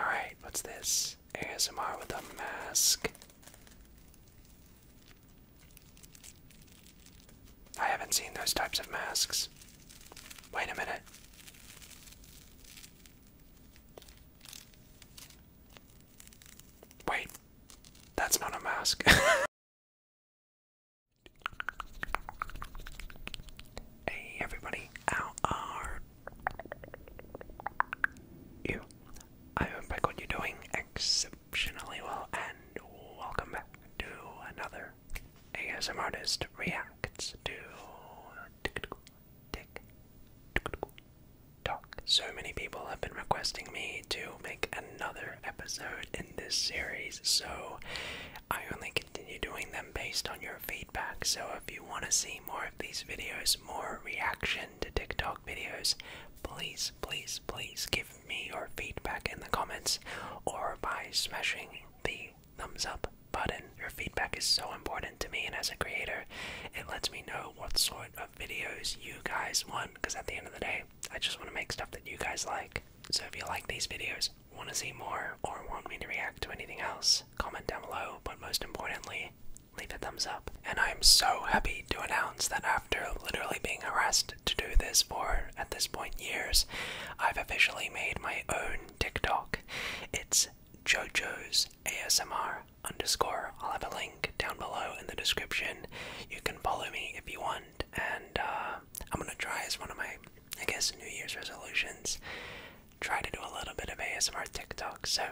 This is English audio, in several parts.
Alright, what's this? ASMR with a mask. I haven't seen those types of masks. Wait a minute. Wait, that's not a mask. hey everybody, how you. I hope I got you doing exceptionally well, and welcome back to another ASM Artist Reacts to Talk. So many people have been requesting me to make another episode in this series, so I only continue doing them based on your feedback. So if you want to see more of these videos, more reaction to TikTok videos, please, please, please give me your feedback in the comments or by smashing the thumbs up button. Your feedback is so important to me and as a creator, it lets me know what sort of videos you guys want because at the end of the day, I just want to make stuff that you guys like. So if you like these videos, want to see more, or want me to react to anything else, comment down below, but most importantly, leave a thumbs up. And I'm so happy to announce that after literally being harassed to do this for, at this point, years, I've officially made my own TikTok. It's JoJo's ASMR underscore. I'll have a link down below in the description. You can follow me if you want, and uh, I'm gonna try as one of my, I guess, New Year's resolutions try to do a little bit of ASMR TikTok, so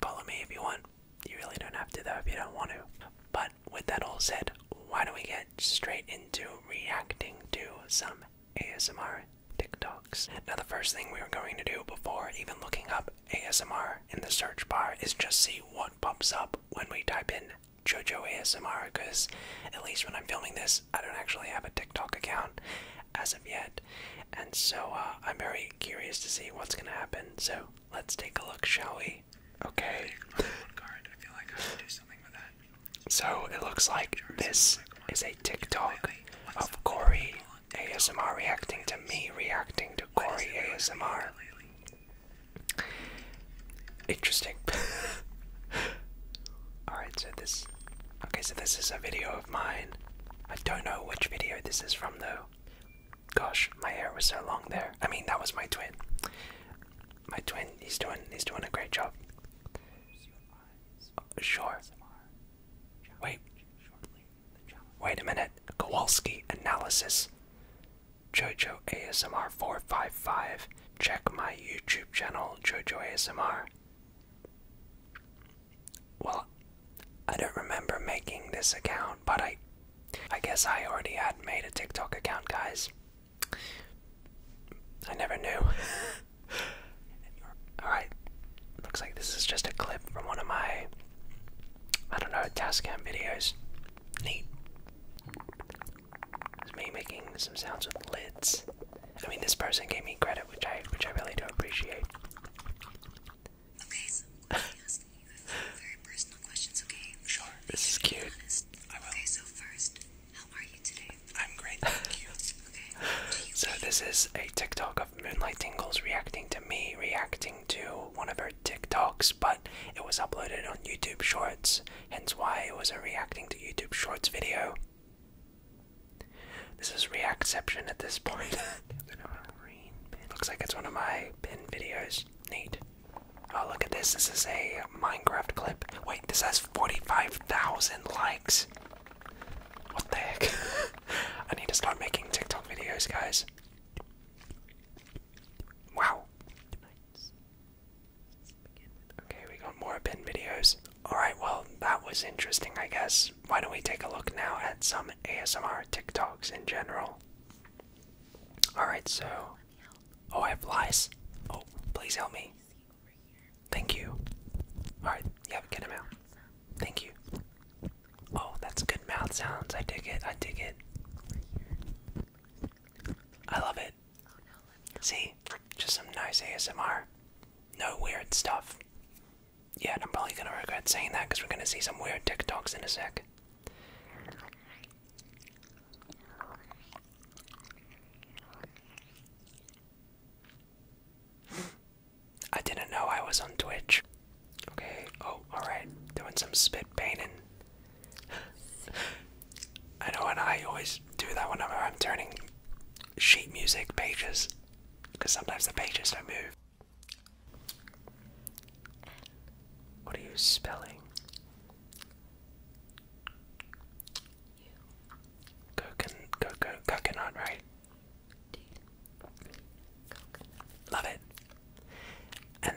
follow me if you want. You really don't have to, though, if you don't want to. But with that all said, why don't we get straight into reacting to some ASMR TikToks? Now, the first thing we are going to do before even looking up ASMR in the search bar is just see what pops up when we type in JoJo ASMR, because at least when I'm filming this, I don't actually have a TikTok account as of yet. And so uh, I'm very curious to see what's going to happen. So let's take a look, shall we? Okay. So it looks like this is a TikTok of Corey ASMR reacting to me reacting to Corey ASMR. Interesting. Alright, so this Okay, so this is a video of mine. I don't know which video this is from though. Gosh, my hair was so long there. I mean, that was my twin. My twin, he's doing, he's doing a great job. Sure. Wait. Wait a minute. Kowalski analysis. Jojo ASMR 455. Check my YouTube channel, Jojo ASMR. Well, I don't remember making this account, but I I guess I already had made a TikTok account, guys. I never knew. Alright, looks like this is just a clip from one of my, I don't know, task cam videos. Neat. It's me making some sounds with lids. I mean, this person gave me credit, which I which I really do appreciate. Sure. This is cute. I will. Okay, so first, how are you today? I'm great, thank You so this is a TikTok of Moonlight Tingles reacting to me reacting to one of her TikToks, but it was uploaded on YouTube Shorts, hence why it was a reacting to YouTube Shorts video. This is Reactception at this point. looks like it's one of my pin videos. Neat. Oh, look at this. This is a Minecraft clip. Wait, this has 45,000 likes. What the heck? I need to start making TikTok videos, guys. Wow. Okay, we got more bin videos. Alright, well, that was interesting, I guess. Why don't we take a look now at some ASMR TikToks in general? Alright, so. Oh, I have lice. Oh, please help me. Thank you. Alright, yeah, get him out. Thank you. Oh, that's good mouth sounds. I dig it. I dig it. I love it. See? Just some nice ASMR. No weird stuff. Yeah, and I'm probably gonna regret saying that because we're gonna see some weird TikToks in a sec. I didn't know I was on Twitch. Okay, oh, alright. Doing some spit painting. I know, and I always do that whenever I'm turning sheet music pages, because sometimes the pages don't move. What are you spelling? You. Coconut, co co coconut, right? Dude. Coconut. Love it. And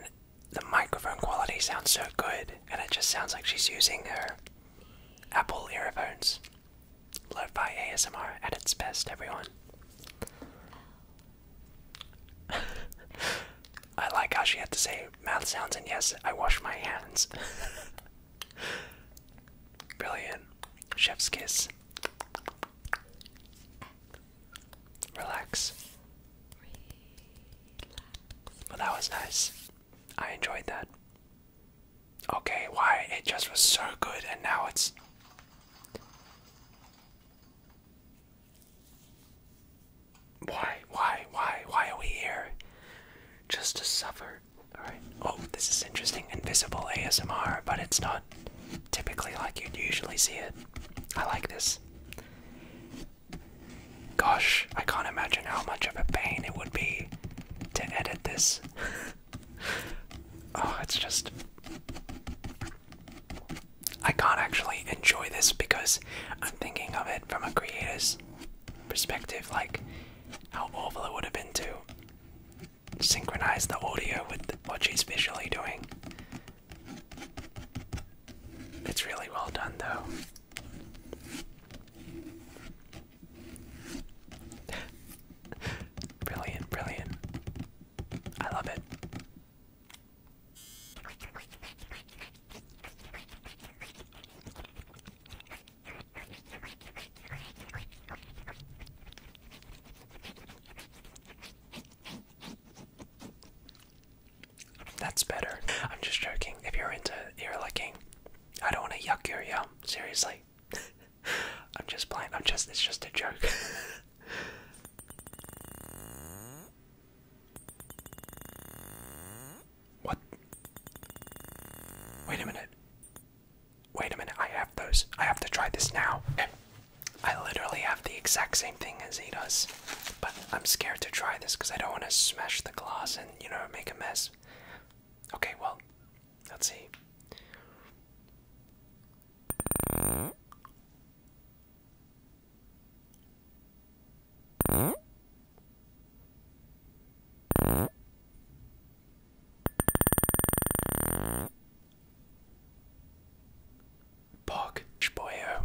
the microphone quality sounds so good, and it just sounds like she's using her Apple earphones. lofi ASMR at its best, everyone. I like how she had to say math sounds and yes, I wash my hands. Brilliant. Chef's kiss. Relax. Relax. Well, that was nice. I enjoyed that. Okay, why? It just was so good, and now it's. Why, why, why, why are we here? Just to suffer. Alright. Oh, this is interesting. Invisible ASMR, but it's not typically like you'd usually see it. I like this. Gosh, I can't imagine how much of a pain it would be to edit this. oh, it's just. I can't actually enjoy this because I'm thinking of it from a creator's perspective, like how awful it would have been to synchronize the audio with what she's visually doing. It's really well done, though brilliant, brilliant. I love it. That's better. I'm just joking. If you're into ear licking, I don't want to yuck your yum. Seriously. I'm just playing. I'm just. It's just a joke. what? Wait a minute. Wait a minute. I have those. I have to try this now. I literally have the exact same thing as he does. But I'm scared to try this because I don't want to smash the glass and, you know, make a mess. Okay, well, let's see. Bog Chboyo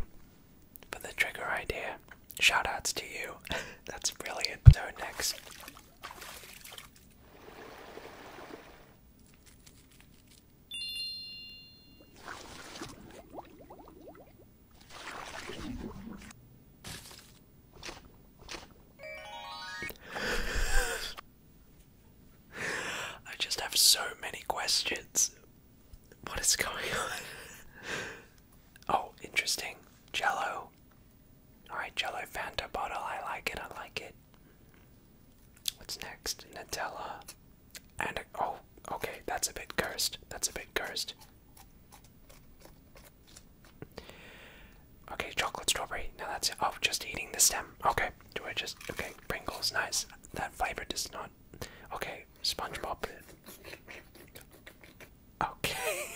for the trigger idea. Shoutouts to you. That's brilliant. So next. I just have so many questions what is going on? oh, interesting. Jello. Alright, Jello Fanta bottle. I like it. I like it. What's next? Nutella. And a, oh, okay. That's a bit cursed. That's a bit cursed. Okay, chocolate strawberry. Now that's Oh, just eating the stem. Okay. Do I just. Okay, Pringles. Nice. That flavor does not. Okay, SpongeBob Okay.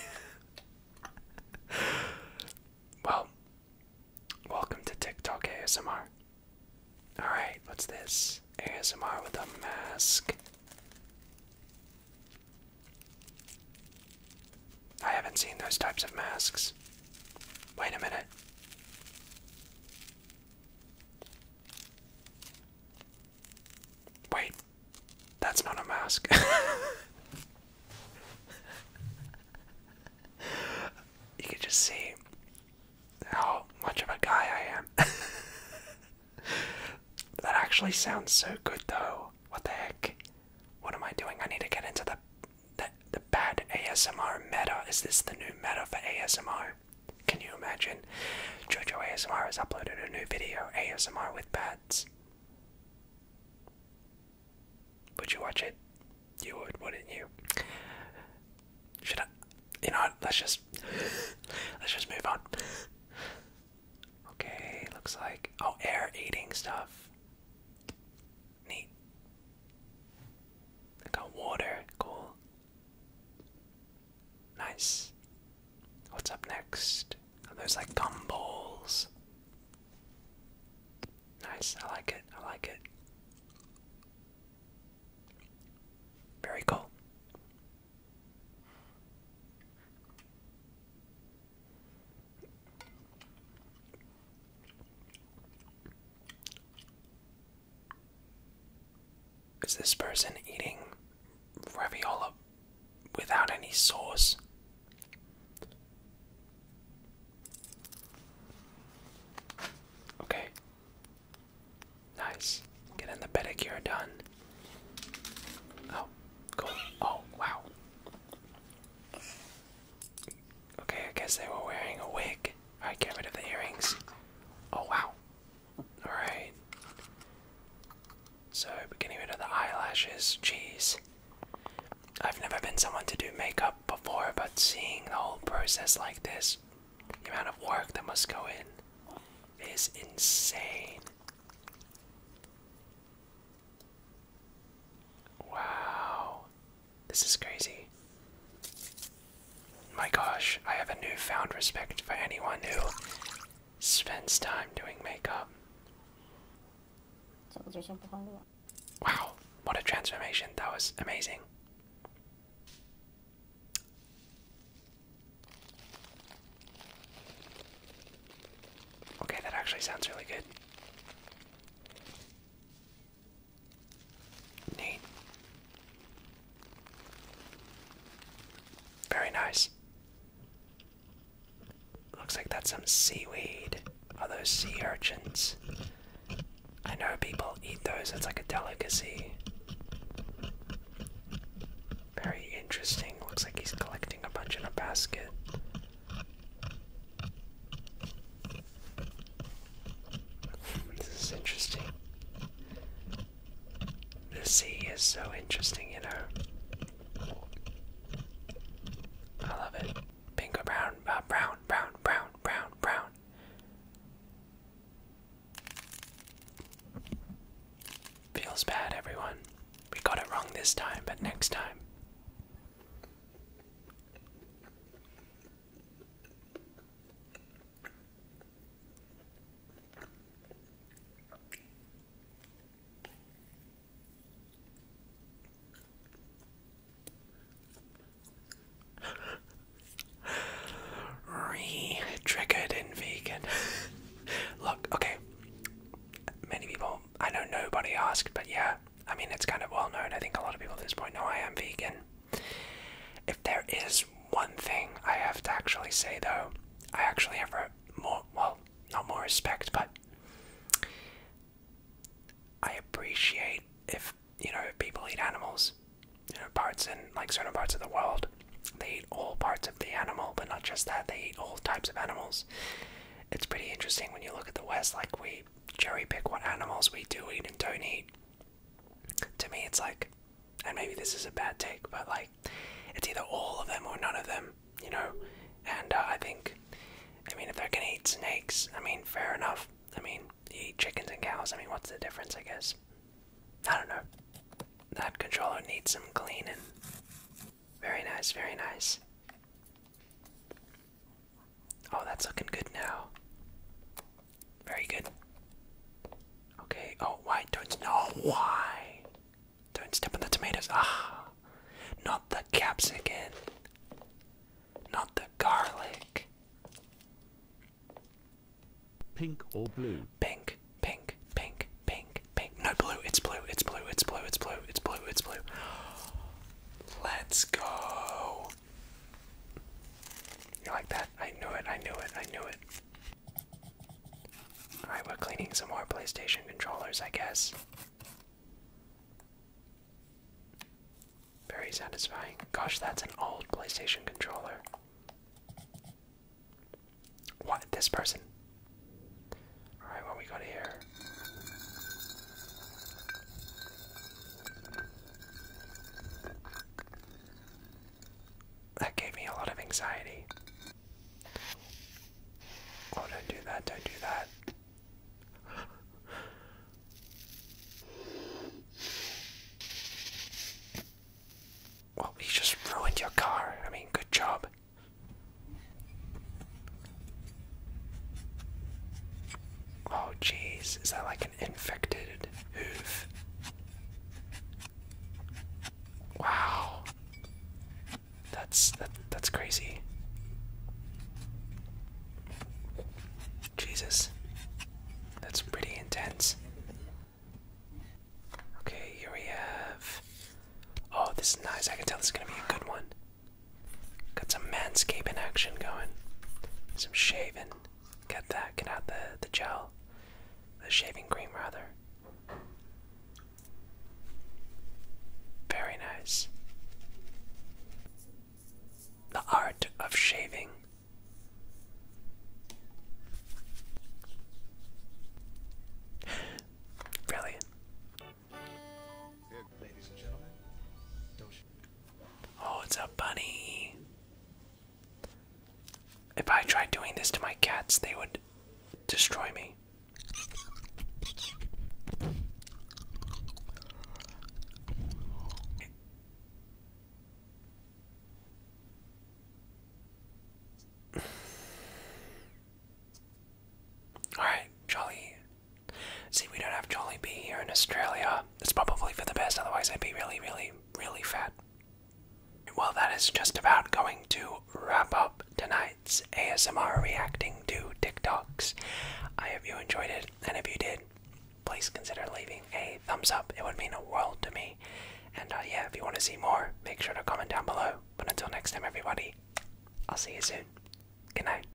well, welcome to TikTok ASMR. Alright, what's this? ASMR with a mask. I haven't seen those types of masks. Wait a minute. Wait, that's not a mask. you can just see how much of a guy I am. that actually sounds so good, though. What the heck? What am I doing? I need to get into the the, the bad ASMR meta. Is this the new meta for ASMR? Can you imagine? Jojo ASMR has uploaded a new video, ASMR with bats. Would you watch it? You would, wouldn't you? Should I? You know, what, let's just let's just move on. Okay, looks like oh, air eating stuff. Neat. got water. Cool. Nice. What's up next? Are those like gum balls? Nice, I like it, I like it. Very cool. Is this person eating ravioli without any sauce? Okay. Nice. Getting the pedicure done. Oh, cool. Oh, wow. Okay, I guess they were wearing a wig. Alright, get rid of the earrings. Oh, wow. Alright. So, beginning with the eyelashes, jeez. I've never been someone to do makeup before, but seeing the whole process like this, the amount of work that must go in, is insane. Wow. This is crazy. My gosh, I have a newfound respect for anyone who spends time doing makeup. Wow, what a transformation. That was amazing. Okay, that actually sounds really good. Neat. Very nice. Looks like that's some seaweed. Are those sea urchins? I know people eat those, it's like a delicacy. Very interesting. Looks like he's collecting a bunch in a basket. This is interesting. The sea is so interesting, you know. I love it. Pink brown, uh, brown, brown, brown, brown, brown. Feels bad, everyone. We got it wrong this time, but next time. Re triggered in vegan. Look, okay. Many people, I know nobody asked, but yeah, I mean, it's kind of well known. I think a lot of people at this point know I am vegan. If there is one thing I have to actually say, though, I actually have more, well, not more respect, but I appreciate if, you know, people eat animals. You know, parts in, like, certain parts of the world, they eat all parts of the animal, but not just that, they eat all types of animals. It's pretty interesting when you look at the West, like, we cherry pick what animals we do eat and don't eat to me it's like and maybe this is a bad take but like it's either all of them or none of them you know and uh, i think i mean if they're gonna eat snakes i mean fair enough i mean eat chickens and cows i mean what's the difference i guess i don't know that controller needs some cleaning very nice very nice Oh, that's looking good now. Very good. Okay. Oh, why don't no? Why? Don't step on the tomatoes. Ah, not the capsicum. Not the garlic. Pink or blue? Pink, pink, pink, pink, pink. No blue. It's blue. It's blue. It's blue. It's blue. It's blue. It's blue. Let's go. You like that? I knew it, I knew it, I knew it. Alright, we're cleaning some more PlayStation controllers, I guess. Very satisfying. Gosh, that's an old PlayStation controller. What? This person? Alright, what we got here? That gave me a lot of anxiety. Oh, don't do that, don't do that. Well, we just ruined your car. I mean, good job. Oh, jeez, is that like an infected hoof? Wow, that's that's crazy. Jesus, that's pretty intense. Okay, here we have. Oh, this is nice. I can tell this is gonna be a good one. Got some manscaping action going. Some shaving. Get that, get out the, the gel. The shaving cream, rather. Very nice. The art of shaving. Brilliant. Ladies and gentlemen, Oh, it's a bunny. If I tried doing this to my cats, they would destroy me. All right, Jolly See, we don't have Jollibee here in Australia. It's probably for the best, otherwise, I'd be really, really, really fat. Well, that is just about going to wrap up tonight's ASMR reacting to TikToks. I hope you enjoyed it, and if you did, please consider leaving a thumbs up. It would mean a world to me. And uh, yeah, if you want to see more, make sure to comment down below. But until next time, everybody, I'll see you soon. Good night.